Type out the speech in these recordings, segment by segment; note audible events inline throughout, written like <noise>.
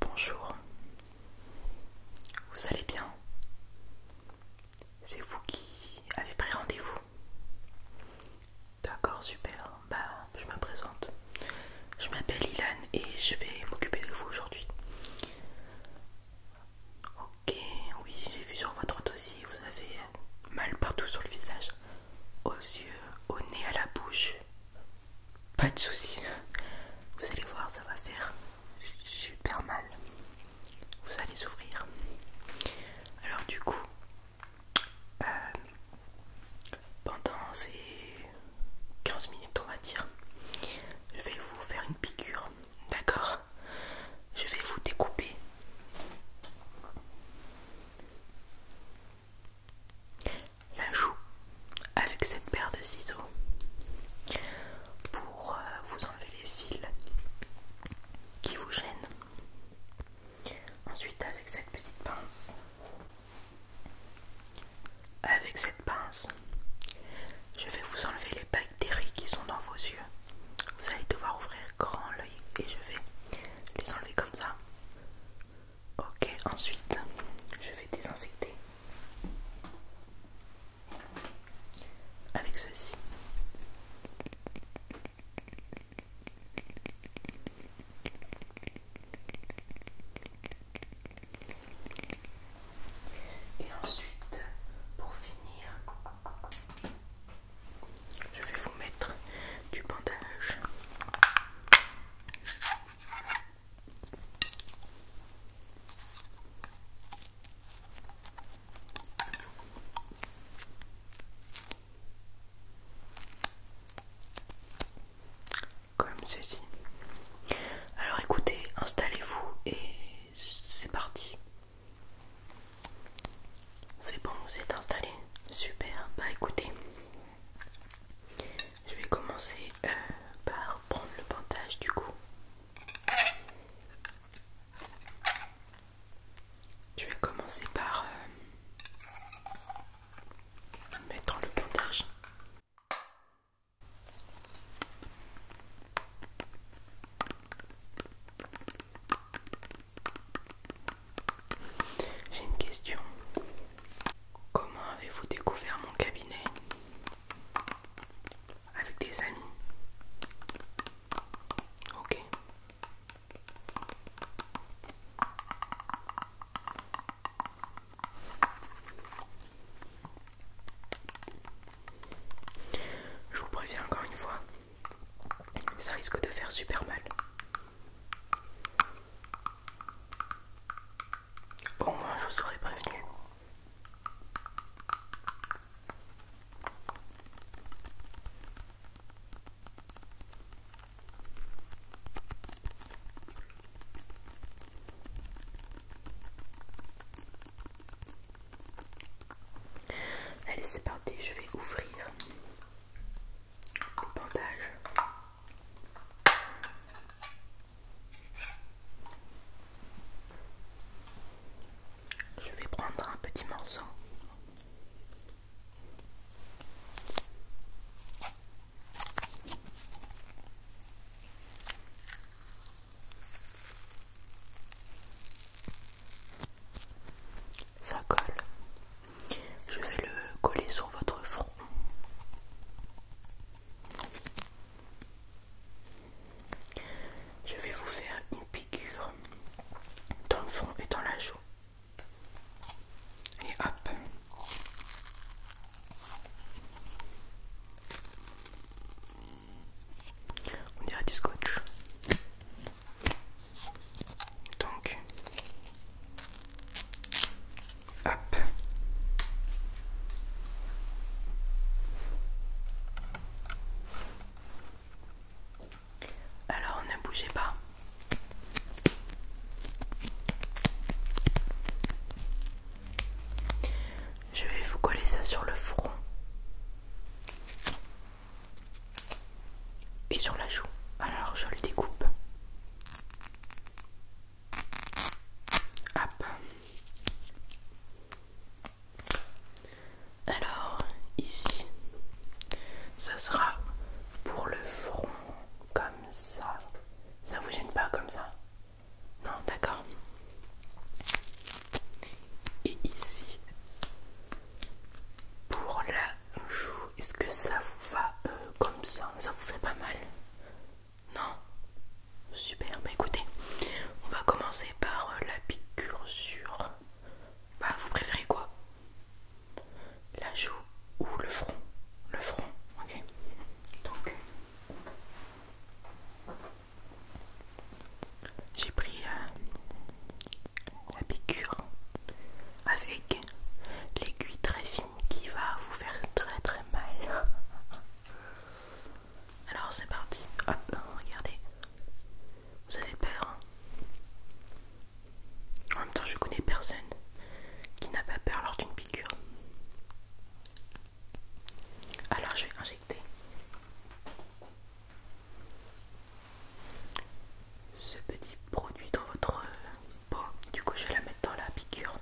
Bonjour, vous allez bien C'est vous qui avez pris rendez-vous D'accord, super. Bah, je me présente. Je m'appelle Ilan et je vais m'occuper de vous aujourd'hui. Ok, oui, j'ai vu sur votre dossier, vous avez mal partout sur le visage, aux yeux, au nez, à la bouche. Pas de soucis, vous allez voir, ça va faire super mal. Vous allez souffrir. Alors du coup, euh, pendant ces 15 minutes, on va dire, je vais vous faire une piqûre. D'accord Je vais vous découper. La joue avec cette paire de ciseaux pour euh, vous enlever les fils qui vous gênent. Ensuite, avec cette petite pince, avec cette pince, je vais vous enlever les paquets des riz qui sont dans vos yeux. Vous allez devoir ouvrir grand l'œil et je vais les enlever comme ça. Ok, ensuite je vais désinfecter avec ceci. Et ensuite, pour finir, je vais vous mettre du bandage. Comme ceci. Alors écoutez, installez-vous et c'est parti. C'est bon, vous êtes installé Super, bah écoutez, je vais commencer euh, par prendre le pantage du coup. Je vais commencer par euh, mettre le pantage. J'ai une question. Comment avez-vous découvert mon cabinet Avec des amis Ok. Je vous préviens encore une fois, ça risque de faire super mal. Au moins, je vous aurais prévenu. Allez, c'est parti, je vais ouvrir le bandage. Je vais prendre un petit morceau. Ça colle. Je vais le coller sur votre front. Je vais vous faire une piqûre dans le front et dans la joue. Et hop on dirait du scotch. Donc, hop. Alors ne bougez pas. Je vais vous coller ça sur le front et sur la joue. Alors je le découpe. Hop. Alors ici, ça sera pour le front comme ça. Ça vous gêne pas comme ça Non, d'accord et ici pour la joue. Est-ce que ça vous va euh, comme ça Ça vous fait pas mal Non Super, bah écoutez, on va commencer par euh, la piqûre sur. Bah, vous préférez quoi La joue ou le front Le front, ok Donc. J'ai pris euh, la piqûre avec l'aiguille très fine qui va vous faire très très mal. <laughs> Alors c'est parti. regardez. Vous avez peur hein. En même temps, je connais personne qui n'a pas peur lors d'une piqûre. Alors je vais injecter ce petit produit dans votre peau. Du coup, je vais la mettre dans la piqûre.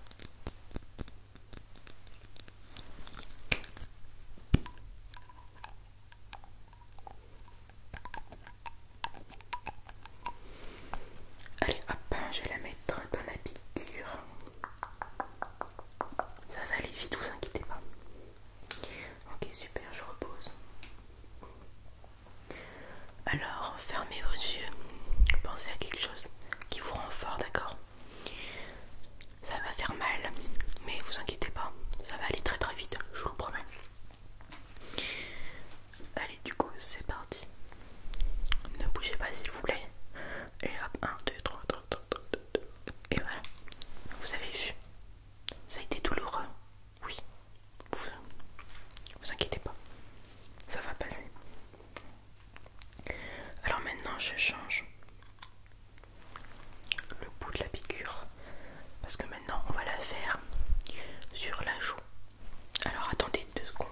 Allez hop, je vais la mettre dans la piqûre. Ça va aller vite, vous inquiétez pas. Ok, super, je repose. Alors, fermez vos yeux. Pensez à quelque chose qui vous rend fort, d'accord Ça va faire mal, mais vous inquiétez pas, ça va aller très très vite, je vous le promets. Allez, du coup, c'est parti. Ne bougez pas, s'il vous plaît. Et hop, 1, 2, 3, et voilà, vous avez vu, ça a été douloureux. Oui, vous, inquiétez pas, ça va passer. Alors maintenant, je change le bout de la piqûre parce que maintenant on va la faire sur la joue. Alors attendez deux secondes.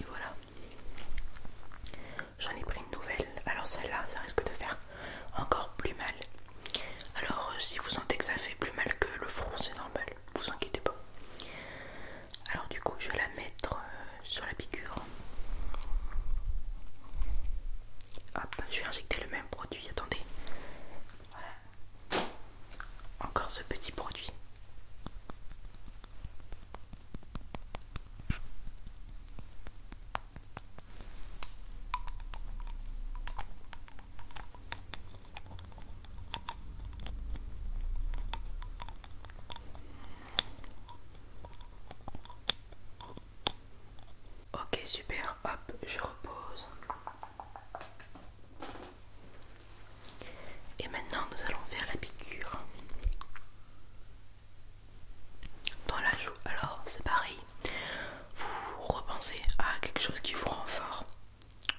Et voilà. J'en ai pris une nouvelle. Alors celle-là, ça risque de faire encore plus mal. Alors euh, si vous sentez que ça fait plus mal que le front, c'est normal. Vous inquiétez pas. Alors du coup, je vais la mettre euh, sur la piqûre. Hop, je vais injecter le même produit. Attendez. Voilà. Encore ce petit produit. Ok super, hop, je repose. Et maintenant nous allons faire la piqûre dans la joue. Alors c'est pareil, vous repensez à quelque chose qui vous rend fort.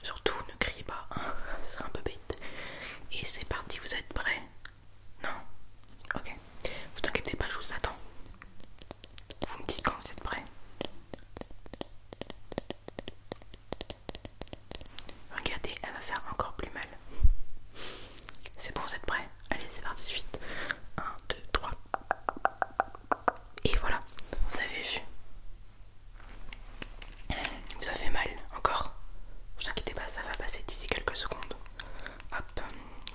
Surtout ne criez pas, hein, <laughs> c'est un peu bête. Et c'est parti, vous êtes prêts Non Ok, vous inquiétez pas, je vous attends. Vous me dites quand vous êtes prêts. Regardez, elle va faire encore plus mal. C'est bon, vous êtes prêt. Allez, c'est parti suite. 1, 2, 3. Et voilà, vous avez vu. Ça fait mal encore. Ne vous inquiétez pas, ça va passer d'ici quelques secondes. Hop,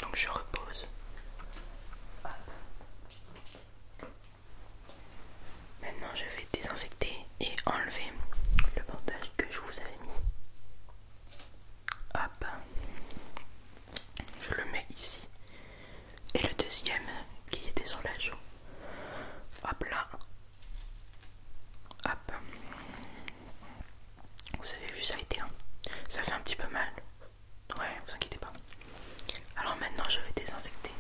donc je repose. Hop. Maintenant, je vais désinfecter et enlever le bandage que je vous avais mis. Hop, je le mets ici. Et le deuxième qui était sur la joue. Hop là. Hop. Vous avez vu ça a été. Hein. Ça fait un petit peu mal. Ouais, vous inquiétez pas. Alors maintenant, je vais désinfecter.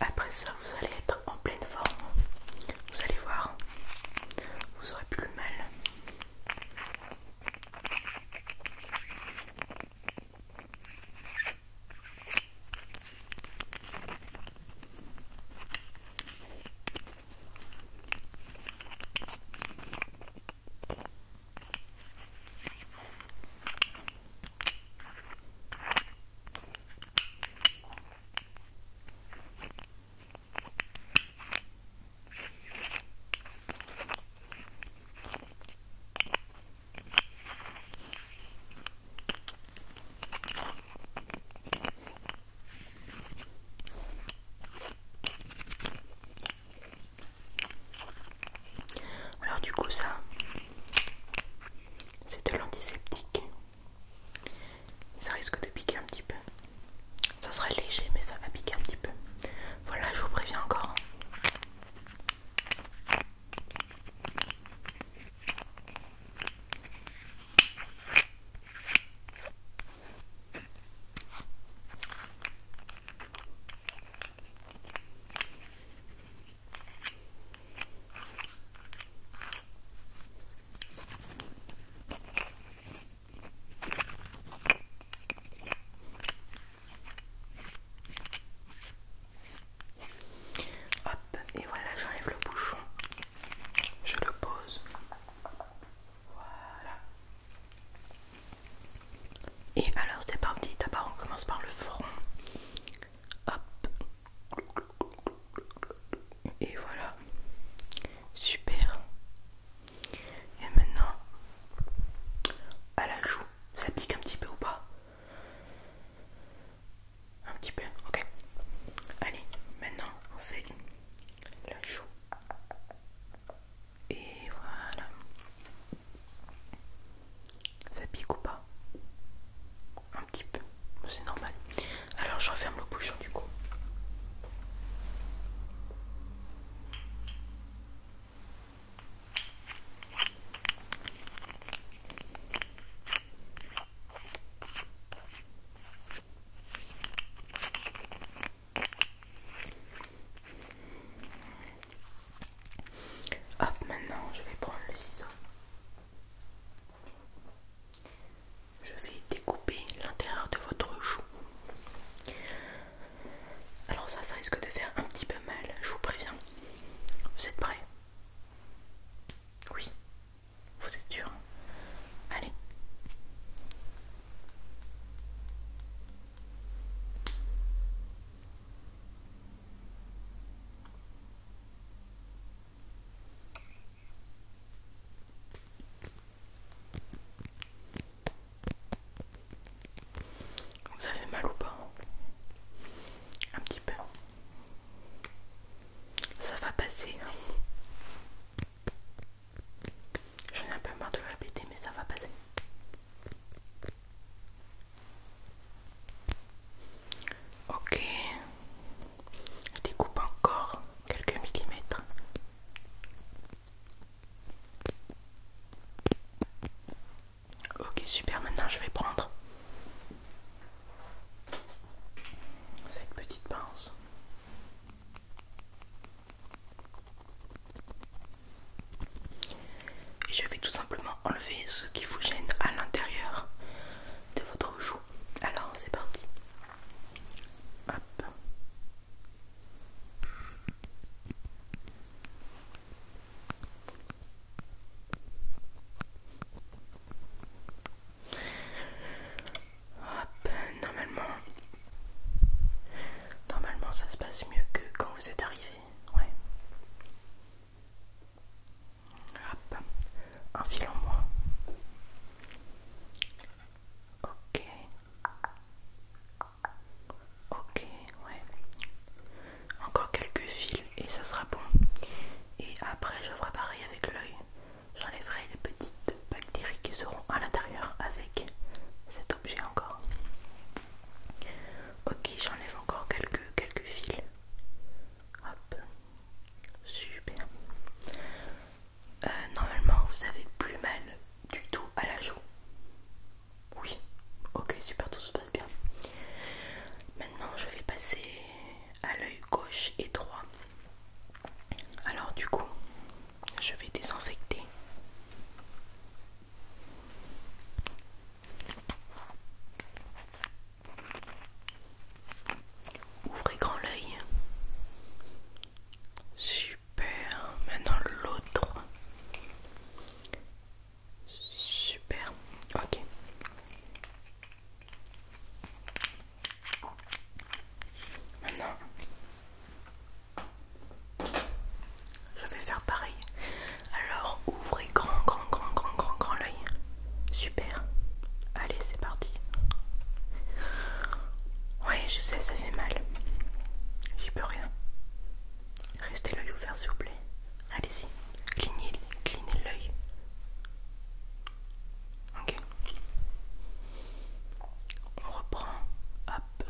Après ça, vous allez être en pleine forme. Vous allez voir, vous aurez plus mal. Alors du coup ça, c'est de l'antiseptique ça risque de piquer un petit peu ça sera léger mais ça va piquer un petit peu voilà je vous préviens encore hein. Hop, et voilà, j'enlève le bouchon. Je le pose. Voilà. Et alors, c'est parti. D'abord, on commence par le front. Hop, et voilà. Super. Et maintenant, à la joue, ça pique un petit peu ou pas Un petit peu, ok. Allez, maintenant on fait la joue. Et voilà. Ça pique ou pas un petit peu, c'est normal. Alors je referme le bouchon du coup. Hop, maintenant je vais prendre le ciseau. Je vais découper l'intérieur de votre joue. Alors ça, ça risque de faire un petit peu mal, je vous préviens. Vous êtes prêts Oui. Vous êtes sûr Allez. Vous avez mal ou pas hein Un petit peu. Ça va passer. Hein. J'en ai un peu marre de répéter, mais ça va passer. Ok. Je découpe encore quelques millimètres. Ok, super, maintenant je vais prendre cette petite pince. Et je vais tout simplement enlever ce qui vous gêne à l'intérieur de votre joue. Alors c'est parti normalement, normalement ça se passe mieux que quand vous êtes arrivé, ouais. Hop, un fil en moins. Ok. Ok, ouais. Encore quelques fils et ça sera bon. Et après, je ferai pareil avec l'œil. J'enlèverai les petites bactéries qui seront à l'intérieur avec cet objet encore. Ok, j'enlève encore quelques, quelques fils. Hop. Super. Euh, normalement, vous avez plus mal du tout à la joue. Oui. Ok, super, tout se passe bien. Maintenant, je vais passer à l'œil gauche et droit. Alors, du coup, je vais désinfecter. Ouvrez grand l'œil. Super. Maintenant l'autre. Super. Ok. Maintenant, je vais faire pareil. Alors, ouvrez grand, grand, grand, grand, grand, grand l'œil. Super. Allez, c'est parti. Ouais, je sais, ça fait mal. J'y peux rien. Restez l'œil ouvert, s'il vous plaît. Allez-y. Clignez, l'oeil. l'œil. Ok. On reprend. Hop.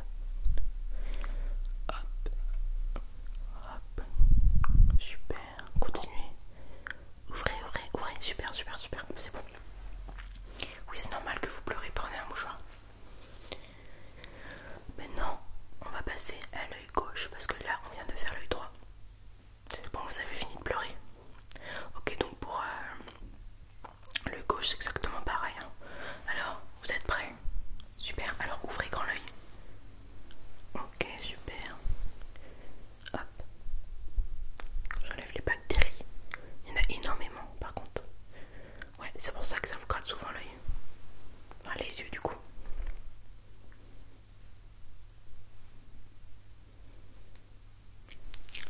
Hop. Hop. Super. Continuez. Ouvrez, ouvrez, ouvrez. Super, super, super. C'est bon. Oui, c'est normal que vous pleurez. Prenez un mouchoir. Maintenant, on va passer à l'œil gauche parce que là, on vient de faire l'œil droit. Bon, vous avez fini de pleurer. Ok, donc pour euh, l'œil gauche, c'est exactement pareil. Hein. Alors, vous êtes prêt Super. Alors, ouvrez grand l'œil. Ok, super. J'enlève les bactéries. Il y en a énormément par contre. Ouais, c'est pour ça que ça vous gratte souvent l'œil. Enfin les yeux du coup.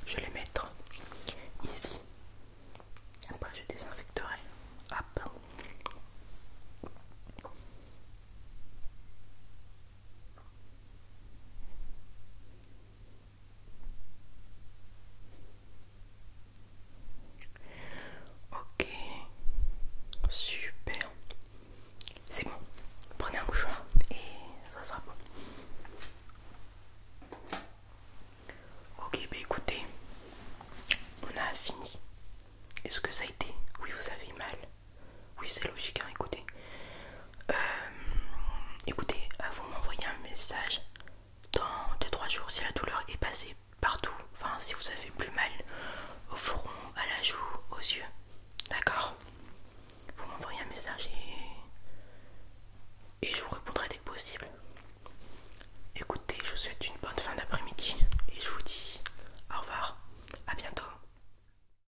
Je vais les mettre ici. Après je désinfecterai. Hop. Ok, super. C'est bon. Prenez un mouchoir et ça sera bon. Ok, bah écoutez, on a fini. Est-ce que ça a été Oui, vous avez mal. Oui, c'est logique, hein, écoutez. Euh, écoutez, euh, vous m'envoyez un message dans 2-3 jours si la douleur est passée partout. Enfin, si vous avez plus mal au front, à la joue, aux yeux. D'accord Vous m'envoyez un message et... et je vous répondrai dès que possible. Écoutez, je vous souhaite une bonne fin d'après-midi et je vous dis au revoir, à bientôt.